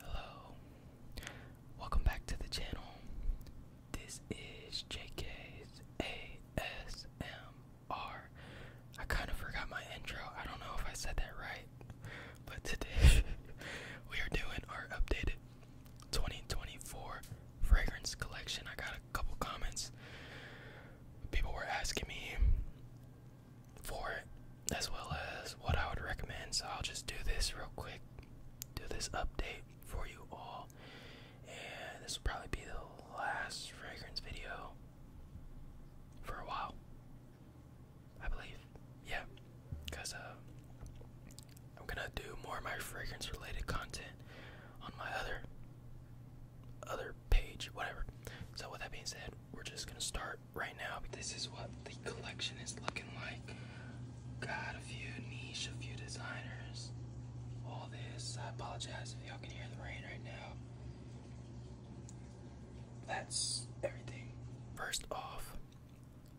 Hello, welcome back to the channel. This is JK's ASMR. I kind of forgot my intro, I don't know if I said that right, but today we are doing our updated 2024 fragrance collection. I got a couple comments. People were asking me for it as well as what I would recommend, so I'll just do this real quick. Do this update for you all, and this will probably be the last fragrance video for a while, I believe. Yeah, because uh, I'm gonna do more of my fragrance related content on my other other page, whatever. So with that being said, we're just gonna start right now. This is what the collection is looking like. Got a few niche, a few designers. All this. I apologize if y'all can hear the rain right now. That's everything. First off,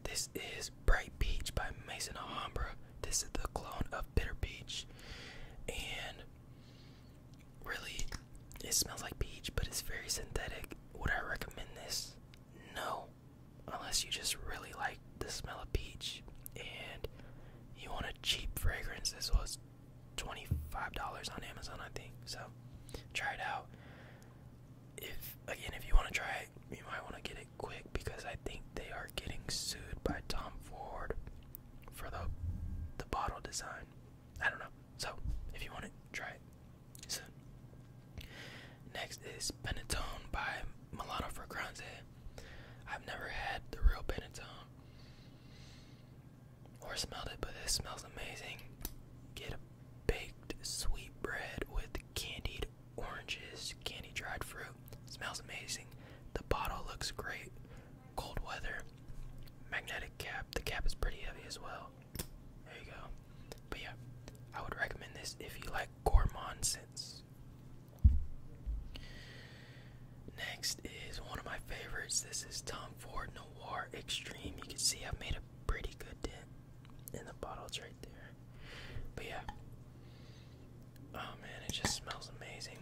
this is Bright Peach by Mason Alhambra. This is the clone of Bitter Peach and really it smells like peach but it's very synthetic would i recommend this no unless you just really like the smell of peach and you want a cheap fragrance this was $25 on amazon i think so try it out if again if you want to try it you might want to get it quick because i think they are getting sued by tom ford for the the bottle design. I don't know. So if you want to try it. So, next is Panettone by Milano Fragranze. I've never had the real Penetone or smelled it, but this smells amazing. Get a baked sweet bread with candied oranges, candy dried fruit, Smells amazing. The bottle looks great. Cold weather. Magnetic cap. The cap is pretty heavy as well. There you go. But yeah, I would recommend this if you like gourmand scents. Next is one of my favorites. This is Tom Ford Noir Extreme. You can see i made a pretty good dent in the bottles right there. But yeah. Oh man, it just smells amazing.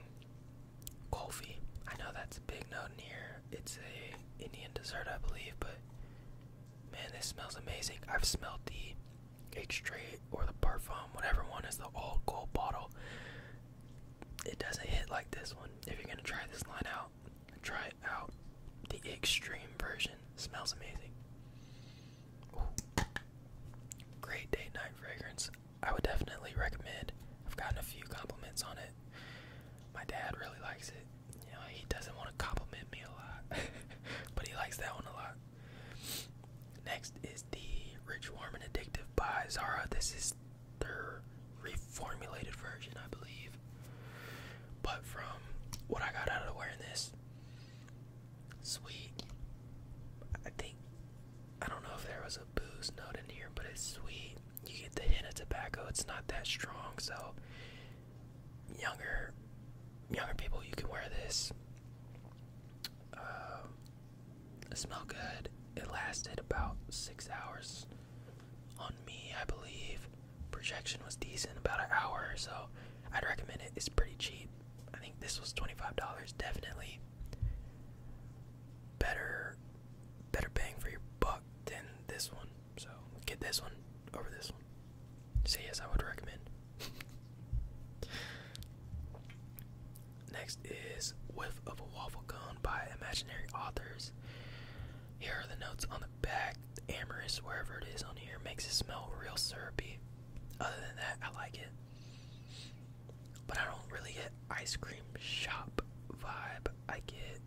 Kulfi. I know that's a big note in here. It's a Indian dessert, I believe, but man, this smells amazing. I've smelled the H or the Parfum, whatever one is the old gold bottle. It doesn't hit like this one. If you're gonna try this line out, try out the extreme version. Smells amazing. Great date night fragrance. I would definitely recommend. I've gotten a few compliments on it. My dad really likes it. You know, he doesn't want to compliment me a lot, but he likes that one a lot. Next is the Rich, Warm, and Addictive by Zara. This is their reformulated version, I believe. But from what I got out of wearing this, sweet. I think I don't know if there was a booze note in here, but it's sweet. You get the hint of tobacco. It's not that strong, so younger, younger people, you can wear this. Uh, it smelled good. It lasted about six hours on me, I believe. Projection was decent, about an hour, so I'd recommend it. It's pretty cheap. I think this was $25, definitely better better bang for your buck than this one. So get this one over this one. So yes, I would recommend. Next is Whiff of a Waffle Cone by Imaginary Authors. Here are the notes on the back. The amorous, wherever it is on here, makes it smell real syrupy. Other than that, I like it but I don't really get ice cream shop vibe. I get.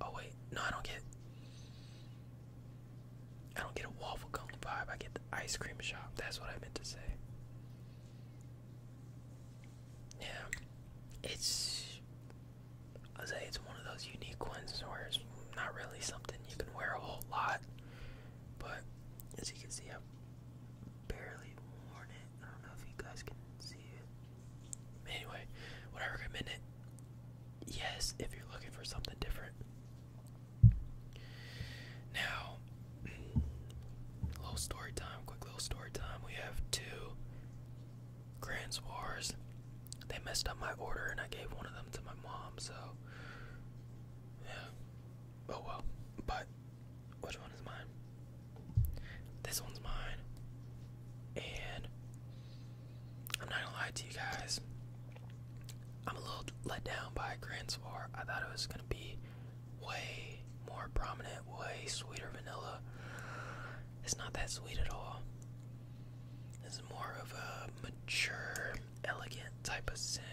Oh wait, no, I don't get. I don't get a waffle cone vibe. I get the ice cream shop. That's what I meant to say. Yeah, it's. I say it's one of those unique ones where it's not really something you can wear a whole lot, but as you can see, I barely worn it. I don't know if you guys can see it. Anyway, would I recommend Yes, if you're looking for something different. Now, little story time, quick little story time. We have two Grand Swars. They messed up my order and I gave one of them to my mom, so yeah. Oh well. But which one is mine? This one's mine. And I'm not gonna lie to you guys. I'm a little let down by Grand Soir. I thought it was gonna be way more prominent, way sweeter vanilla. It's not that sweet at all. It's more of a mature, elegant type of scent.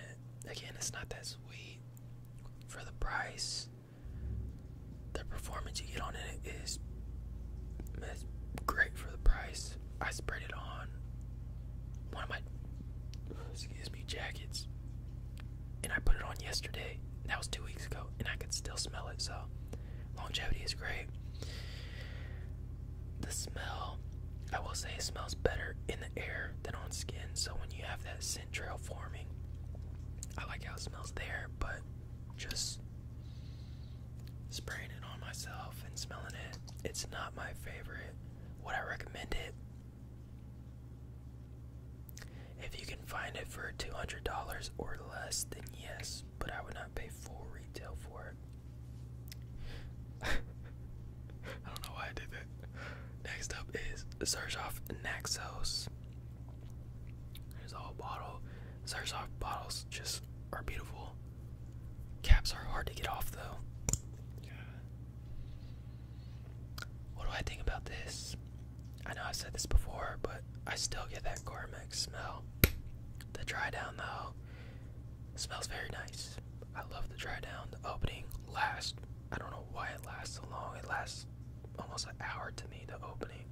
Again, it's not that sweet for the price, the performance you get on it is, great for the price. I sprayed it on one of my excuse me jackets, and I put it on yesterday. That was two weeks ago, and I could still smell it. So longevity is great. The smell, I will say, smells better in the air than on skin. So when you have that scent trail forming. I like how it smells there, but just spraying it on myself and smelling it, it's not my favorite. Would I recommend it? If you can find it for $200 or less, then yes, but I would not pay full retail for it. I don't know why I did that. Next up is Zerzhov Naxos. There's the bottle. Zerzhov bottles just are beautiful. Caps are hard to get off though. What do I think about this? I know I've said this before, but I still get that Carmex smell. The dry down though smells very nice. I love the dry down, the opening, last, I don't know why it lasts so long. It lasts almost an hour to me, the opening.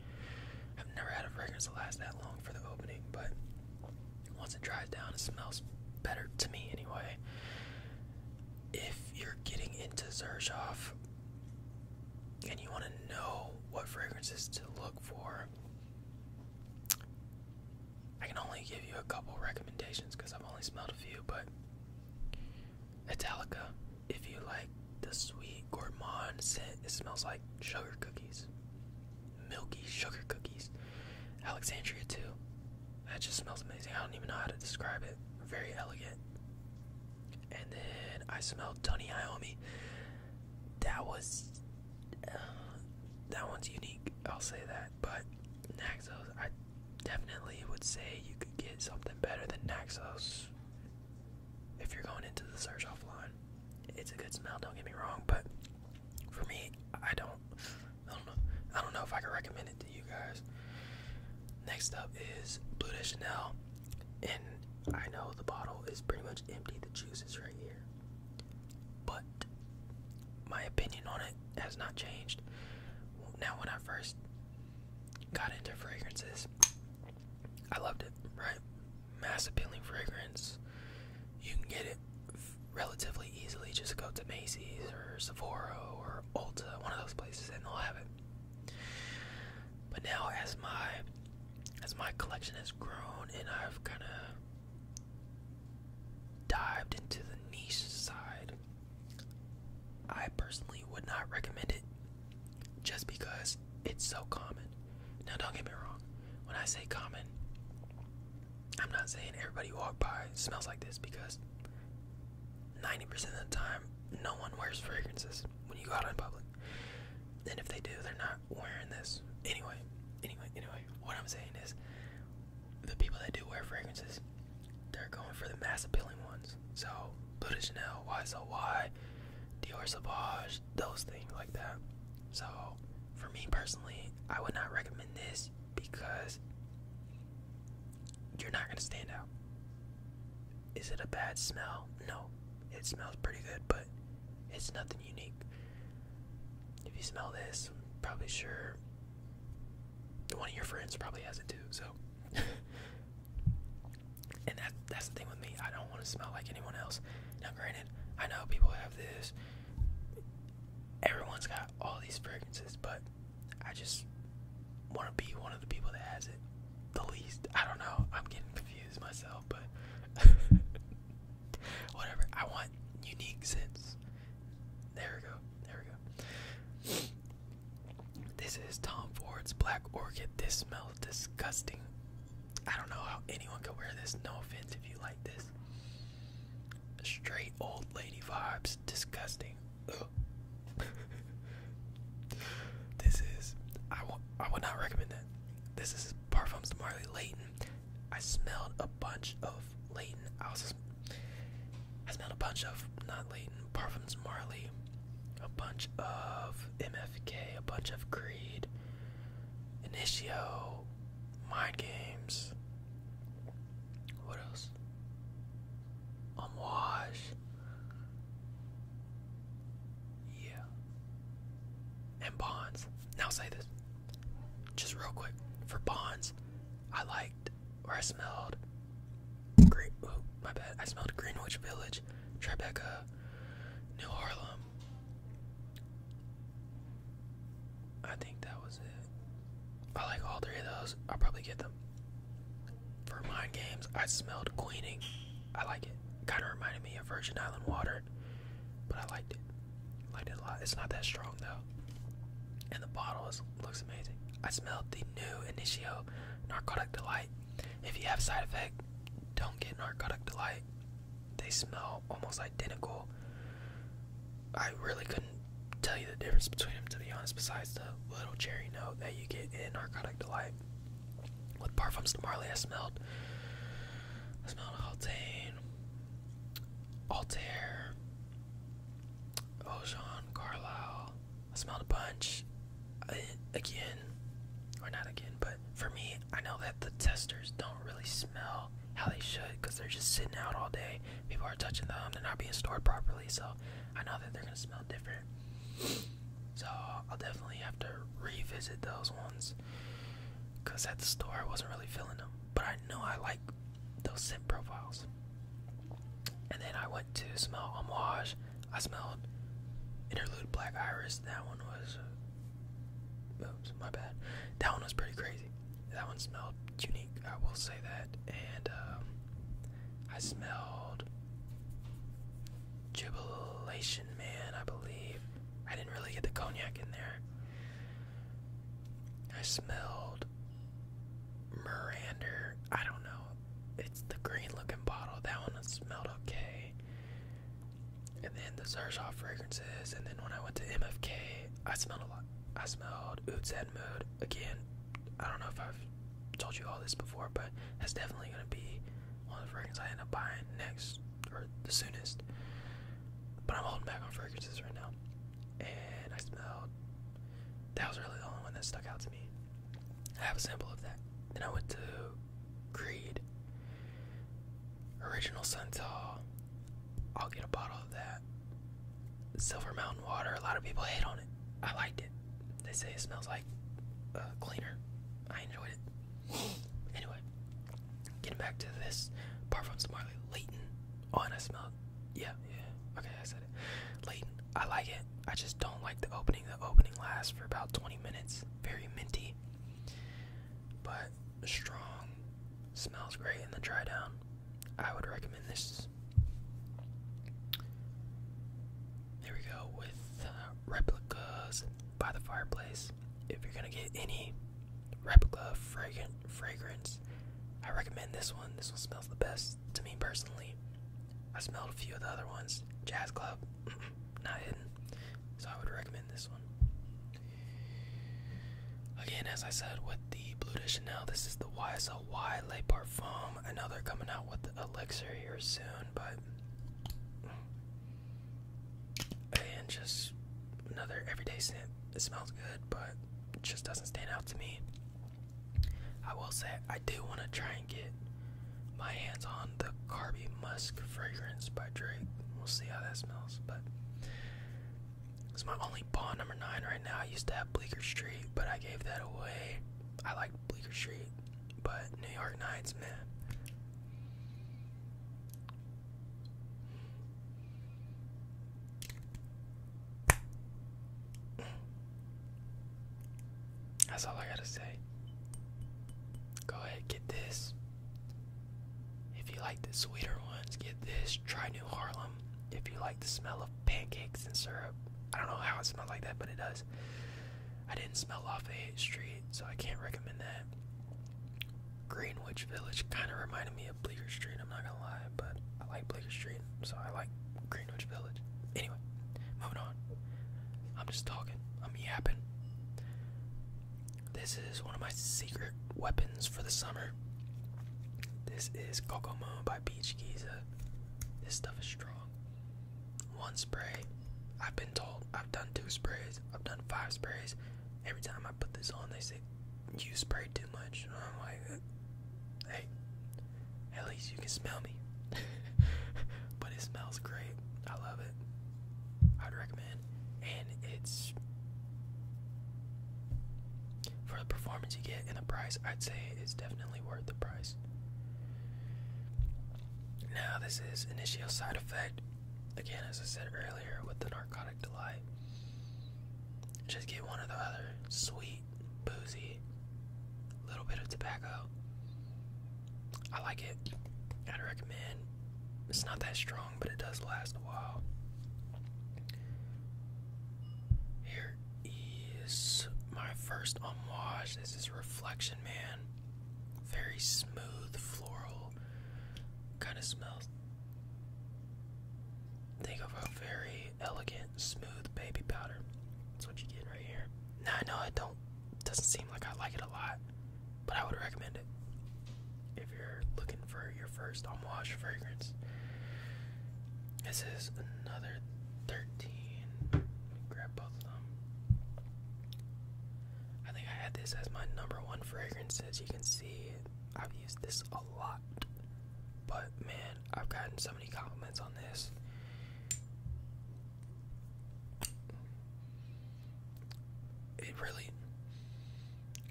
I've never had a fragrance that lasts that long for the opening, but once it dries down, it smells better to me anyway. If you're getting into Zershoff and you want to know what fragrances to look for, I can only give you a couple recommendations because I've only smelled a few, but Italica, if you like the sweet gourmand scent, it smells like sugar cookies. Milky sugar cookies. Alexandria, too. That just smells amazing. I don't even know how to describe it. Very elegant. And then I smelled Tony Iommi. That was. Uh, that one's unique, I'll say that. But Naxos, I definitely would say you could get something better than Naxos if you're going into the search offline. It's a good smell, don't get me wrong, but for me, I don't, I don't know, I don't know if I can recommend it to you guys. Next up is Blue de Chanel, and I know the bottle is pretty much empty. The juice is right here, but my opinion on it has not changed now when I first got into fragrances, I loved it, right? Mass appealing fragrance. You can get it relatively easily. Just go to Macy's or Sephora or Ulta, one of those places, and they'll have it. But now, as my as my collection has grown and I've kind of dived into the niche side I personally would not recommend it just because it's so common. Now, don't get me wrong, when I say common, I'm not saying everybody who walk by smells like this because 90% of the time, no one wears fragrances when you go out in public. And if they do, they're not wearing this. Anyway, anyway, anyway, what I'm saying is the people that do wear fragrances, they're going for the mass appealing ones. So Blue de Chanel, Dior Sauvage, those things like that. So for me personally, I would not recommend this because you're not gonna stand out. Is it a bad smell? No. It smells pretty good, but it's nothing unique. If you smell this, probably sure one of your friends probably has it too. So, and that that's the thing with me. I don't want to smell like anyone else. Now, granted, I know people have this. Everyone's got all these fragrances, but I just want to be one of the people that has it the least. I don't know. I'm getting confused myself, but whatever. I want unique scents. There we go. There we go. This is Tom Ford's Black Orchid. This smells disgusting. I don't know how anyone could wear this. No offense if you like this. Straight old lady vibes. Disgusting. this is. I, I would not recommend that. This is Parfums de Marley Leighton. I smelled a bunch of Leighton. I also I smelled a bunch of not Leighton Parfums Marley, a bunch of MFK, a bunch of Creed, Initio, Mind Games. What else? Homage. Yeah. And Bonds. Now say this. Just real quick. For Bonds, I liked or I smelled Green, oh, my bad. I smelled Greenwich Village, Tribeca, New Harlem. I think that was it. I like all three of those. I'll probably get them. For mind games, I smelled Queening. I like it. Kind of reminded me of Virgin Island water, but I liked it. Liked it a lot. It's not that strong though. And the bottle looks amazing. I smelled the new Initio Narcotic Delight. If you have side effect, don't get Narcotic Delight. They smell almost identical. I really couldn't tell you the difference between them, to be honest, besides the little cherry note that you get in Narcotic Delight. With Parfums de Marley, I smelled, I smelled Altane, Altair, Ocean, Carlisle, I smelled a bunch. Uh, again, or not again, but for me, I know that the testers don't really smell how they should because they're just sitting out all day. People are touching them, they're not being stored properly, so I know that they're going to smell different. So I'll definitely have to revisit those ones because at the store I wasn't really feeling them. But I know I like those scent profiles. And then I went to smell Homage. I smelled Interlude Black Iris. That one was. Uh, my bad. That one was pretty crazy. That one smelled unique, I will say that. And um, I smelled Jubilation Man, I believe. I didn't really get the cognac in there. I smelled Miranda, I don't know. It's the green looking bottle. That one smelled okay. And then the Zershoff fragrances. And then when I went to MFK, I smelled a lot. I smelled Oots and Mood. Again, I don't know if I've told you all this before, but that's definitely going to be one of the fragrances I end up buying next or the soonest. But I'm holding back on fragrances right now. And I smelled that was really the only one that stuck out to me. I have a sample of that. Then I went to Creed. Original Suntal. I'll get a bottle of that. Silver Mountain Water. A lot of people hate on it. I liked it. They say it smells like uh, cleaner. I enjoyed it. anyway, getting back to this. Parfums Marley Leighton. Oh, and I smelled yeah, yeah. Okay, I said it. Leighton, I like it. I just don't like the opening. The opening lasts for about 20 minutes. Very minty, but strong. Smells great in the dry down. I would recommend this. There we go with uh, replicas by the fireplace. If you're gonna get any replica fragrant fragrance, I recommend this one. This one smells the best to me personally. I smelled a few of the other ones. Jazz Club, not hidden. So I would recommend this one. Again, as I said with the Blue de Chanel, this is the YSL Y Le Parfum. I know they're coming out with the elixir here soon, but and just another everyday scent. It smells good, but just doesn't stand out to me. I will say I do want to try and get my hands on the Carby Musk fragrance by Drake. We'll see how that smells, but it's my only Bond number nine right now. I used to have Bleaker Street, but I gave that away. I liked Bleaker Street, but New York Nights, man. That's all I gotta say. Go ahead, get this. If you like the sweeter ones, get this. Try New Harlem. If you like the smell of pancakes and syrup, I don't know how it smells like that, but it does. I didn't smell off 8th Street, so I can't recommend that. Greenwich Village kind of reminded me of Bleecker Street, I'm not gonna lie but I like Bleecker Street, so I like Greenwich Village. Anyway, moving on. I'm just talking. I'm yapping. This is one of my secret weapons for the summer. This is Kokomo by Beach Giza. This stuff is strong. One spray. I've been told I've done two sprays. I've done five sprays. Every time I put this on, they say, you spray two much. Uh, hey, at least you can smell me. but it smells great. I love it. I'd recommend, and it's for the performance you get and the price. I'd say it's definitely worth the price. Now, this is initial side effect. Again, as I said earlier, with the narcotic delight, just get one or the other. Sweet boozy, little bit of tobacco. I like it. I'd recommend. It's not that strong, but it does last a while. Here is my first homage. This is Reflection Man. Very smooth, floral. Kind of smells. Think of a very elegant smooth baby powder. That's what you get right here. Now I know I don't doesn't seem like I like it a lot, but I would recommend it if you're looking for your first unwashed fragrance. This is another 13. grab both of them. I think I had this as my number one fragrance. As you can see, I've used this a lot. But man, I've gotten so many compliments on this. It really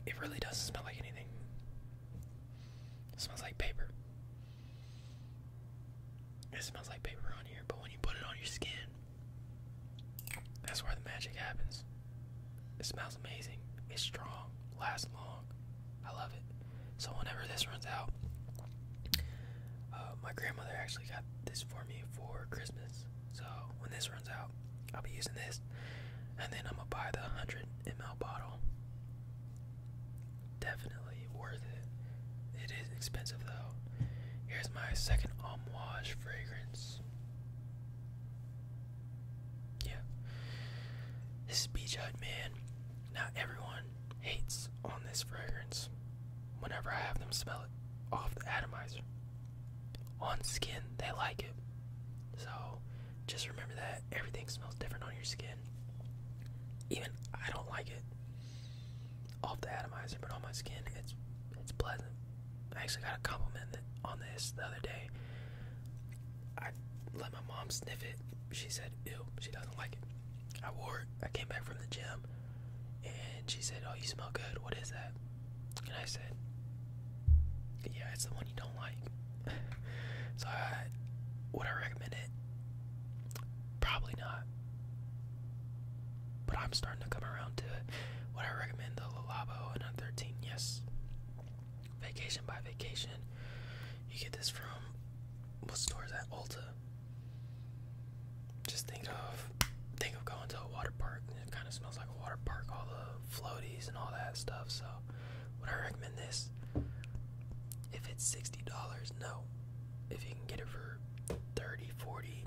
it really doesn't smell like anything. It smells like paper. It smells like paper on here, but when you put it on your skin, that's where the magic happens. It smells amazing. It's strong last long. I love it. So whenever this runs out, uh, my grandmother actually got this for me for Christmas. So when this runs out, I'll be using this, and then I'm gonna buy the 100 ml bottle. Definitely worth it. It is expensive though. Here's my second Omage fragrance. Yeah. This is Beach Hut, man. Not everyone hates on this fragrance whenever I have them smell it off the atomizer. On skin, they like it. So just remember that everything smells different on your skin. Even I don't like it off the atomizer, but on my skin, it's it's pleasant. I actually got a compliment on this the other day. I let my mom sniff it. She said, ew, she doesn't like it. I wore it. I came back from the gym and she said, oh, you smell good. What is that? And I said, yeah, it's the one you don't like. so I, would I recommend it? Probably not. But I'm starting to come around to it. Would I recommend the Lalabo and a 13? Yes. Vacation by Vacation. You get this from what store is that? Ulta. Just think of think of going to a water park. It kind of smells like a water park, all the floaties and all that stuff. So, would I recommend this? If it's sixty dollars, no. If you can get it for 30 40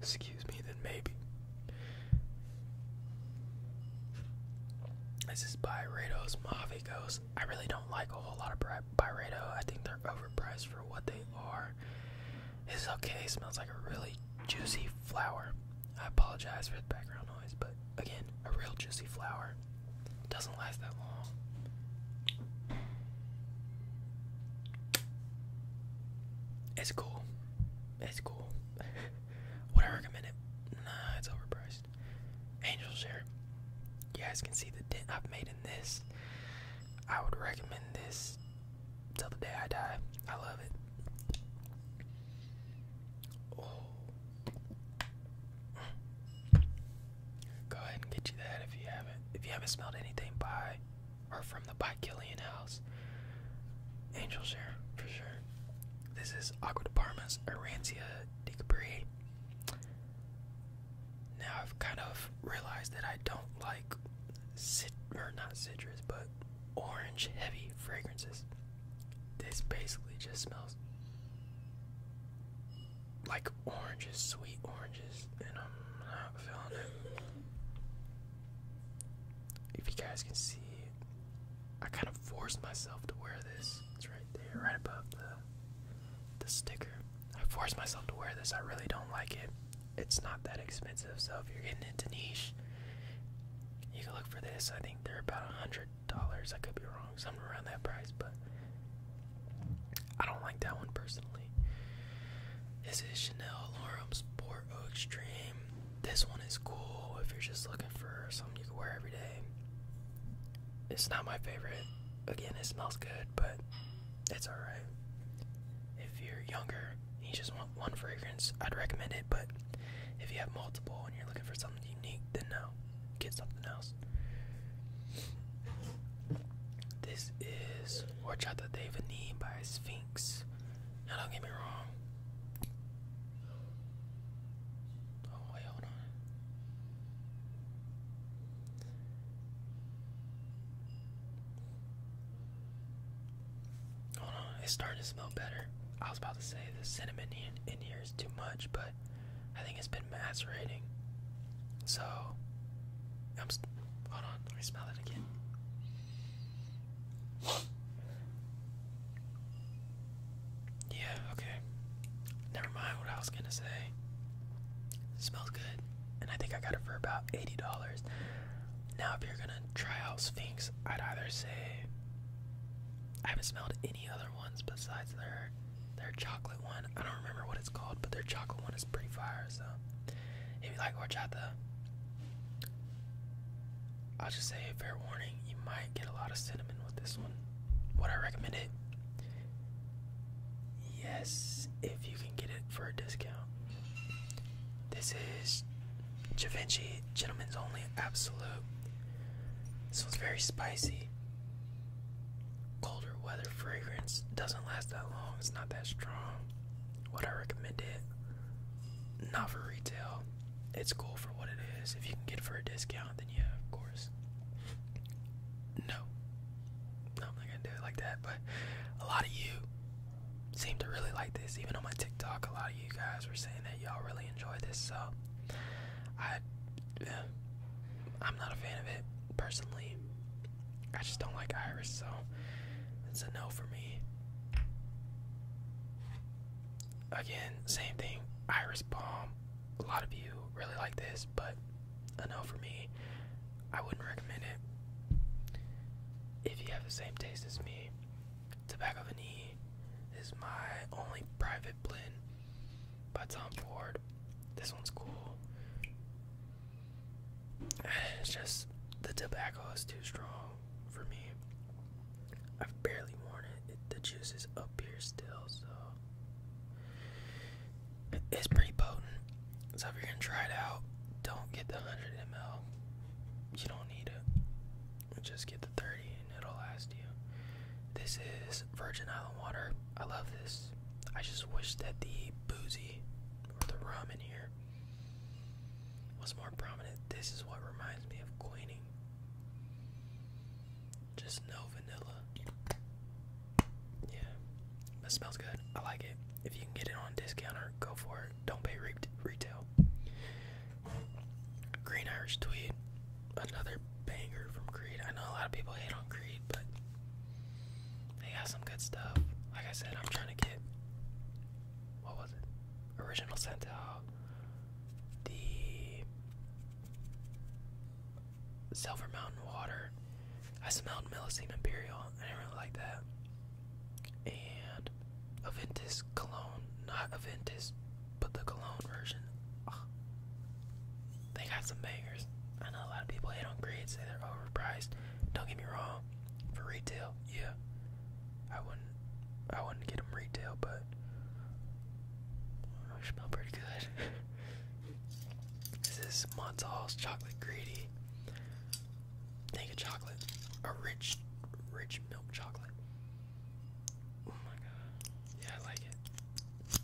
excuse me, then maybe. This is by Rados Ghost. I really don't like a whole lot of Byredo. I think they're overpriced for what they are. It's okay. It smells like a really juicy flower. I apologize for the background noise, but again, a real juicy flower. Doesn't last that long. It's cool. It's cool. Would I recommend it? Nah, it's overpriced first angel share. You guys can see the dent I've made in this. I would recommend this till the day I die. I love it. Oh. Go ahead and get you that if you haven't. If you haven't smelled anything by or from the by Killian house, angel for sure. This is Aqua Department's Arancia Dicabry. Now I've kind of realized that I don't like cit or not citrus, but orange heavy fragrances. This basically just smells like oranges, sweet oranges, and I'm not feeling it. If you guys can see I kind of forced myself to wear this. It's right there, right above the the sticker. I forced myself to wear this. I really don't like it. It's not that expensive, so if you're getting into niche, you can look for this. I think they're about a hundred dollars. I could be wrong, Something around that price, but I don't like that one personally. This is Chanel Lorum Sport O Extreme. This one is cool if you're just looking for something you can wear every day. It's not my favorite. Again, it smells good, but it's alright. If you're younger you just want one fragrance, I'd recommend it, but if you have multiple and you're looking for something unique, then no. Get something else. This is Horchata de Vanille by Sphinx. Now, don't get me wrong, Oh, wait, hold on. Hold on, it's starting to smell better. I was about to say the cinnamon in, here is too much, but I think it's been macerating. So, I'm. hold on, let me smell it again. Yeah, okay. Never mind what I was gonna say. smells good. And I think I got it for about $80. Now, if you're gonna try out Sphinx, I'd either say I haven't smelled any other ones besides their their chocolate one. I don't remember what it's called, but their chocolate one is pretty fire. So, if you like horchata, I'll just say a fair warning: you might I get a lot of cinnamon with this one. Would I recommend it? Yes, if you can get it for a discount. This is Givenchy Gentlemen's Only Absolute. This one's very spicy. Colder weather fragrance. Doesn't last that long. It's not that strong. Would I recommend it? Not for retail it's cool for what it is. If you can get it for a discount, then yeah, of course. No, I'm not gonna do it like that. But a lot of you seem to really like this. Even on my TikTok, a lot of you guys were saying that y'all really enjoy this. So I, yeah, I'm not a fan of it personally. I just don't like Iris, so it's a no for me. Again, same thing. Iris Palm, a lot of you really like this, but I know for me, I wouldn't recommend it. If you have the same taste as me, Tobacco Vanille is my only private blend by Tom Ford. This one's cool. It's just the tobacco is too strong for me. I've barely worn it. The juice is up here still, so it's pretty potent. So if you're gonna try it out, don't get the 100 ml. You don't need it. Just get the 30, and it'll last you. This is Virgin Island water. I love this. I just wish that the boozy or the rum in here was more prominent. This is what reminds me of Queenie. Just no vanilla. Yeah. That smells good. I like it. If you can get it on discount, or go for it. Don't pay retail. Green Irish Tweed. Another banger from Creed. I know a lot of people hate on Creed, but they got some good stuff. Like I said, I'm trying to get what was it? Original Sentel. The Silver Mountain Water. I smelled Millicene Imperial. I didn't really like that. And Aventis Cologne. Not Aventis, but the Cologne version. They got some bangers. I know a lot of people hate on grades, say they're overpriced. Don't get me wrong. For retail, yeah. I wouldn't I wouldn't get them retail, but I smell pretty good. this is Montal's chocolate greedy. Naked chocolate. A rich, rich milk chocolate. Oh my god. Yeah, I like it.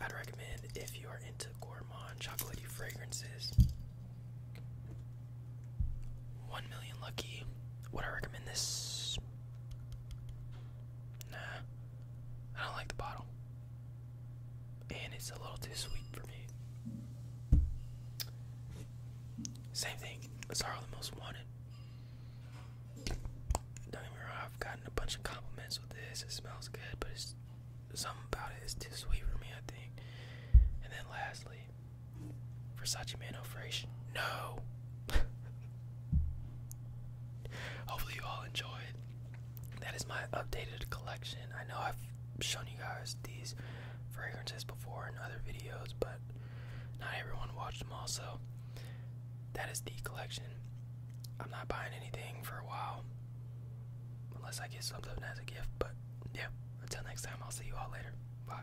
I'd recommend if you are into gourmand chocolatey fragrances. One million lucky. Would I recommend this? Nah, I don't like the bottle. And it's a little too sweet for me. Same thing, it's Harlem Most Wanted. Don't get I've gotten a bunch of compliments with this. It smells good, but it's something about it is too sweet for me, I think. And then lastly, Versace Mano Fresh. No! Hopefully, you all enjoyed. That is my updated collection. I know I've shown you guys these fragrances before in other videos, but not everyone watched them all, so that is the collection. I'm not buying anything for a while, unless I get something as a gift, but yeah, until next time, I'll see you all later. Bye.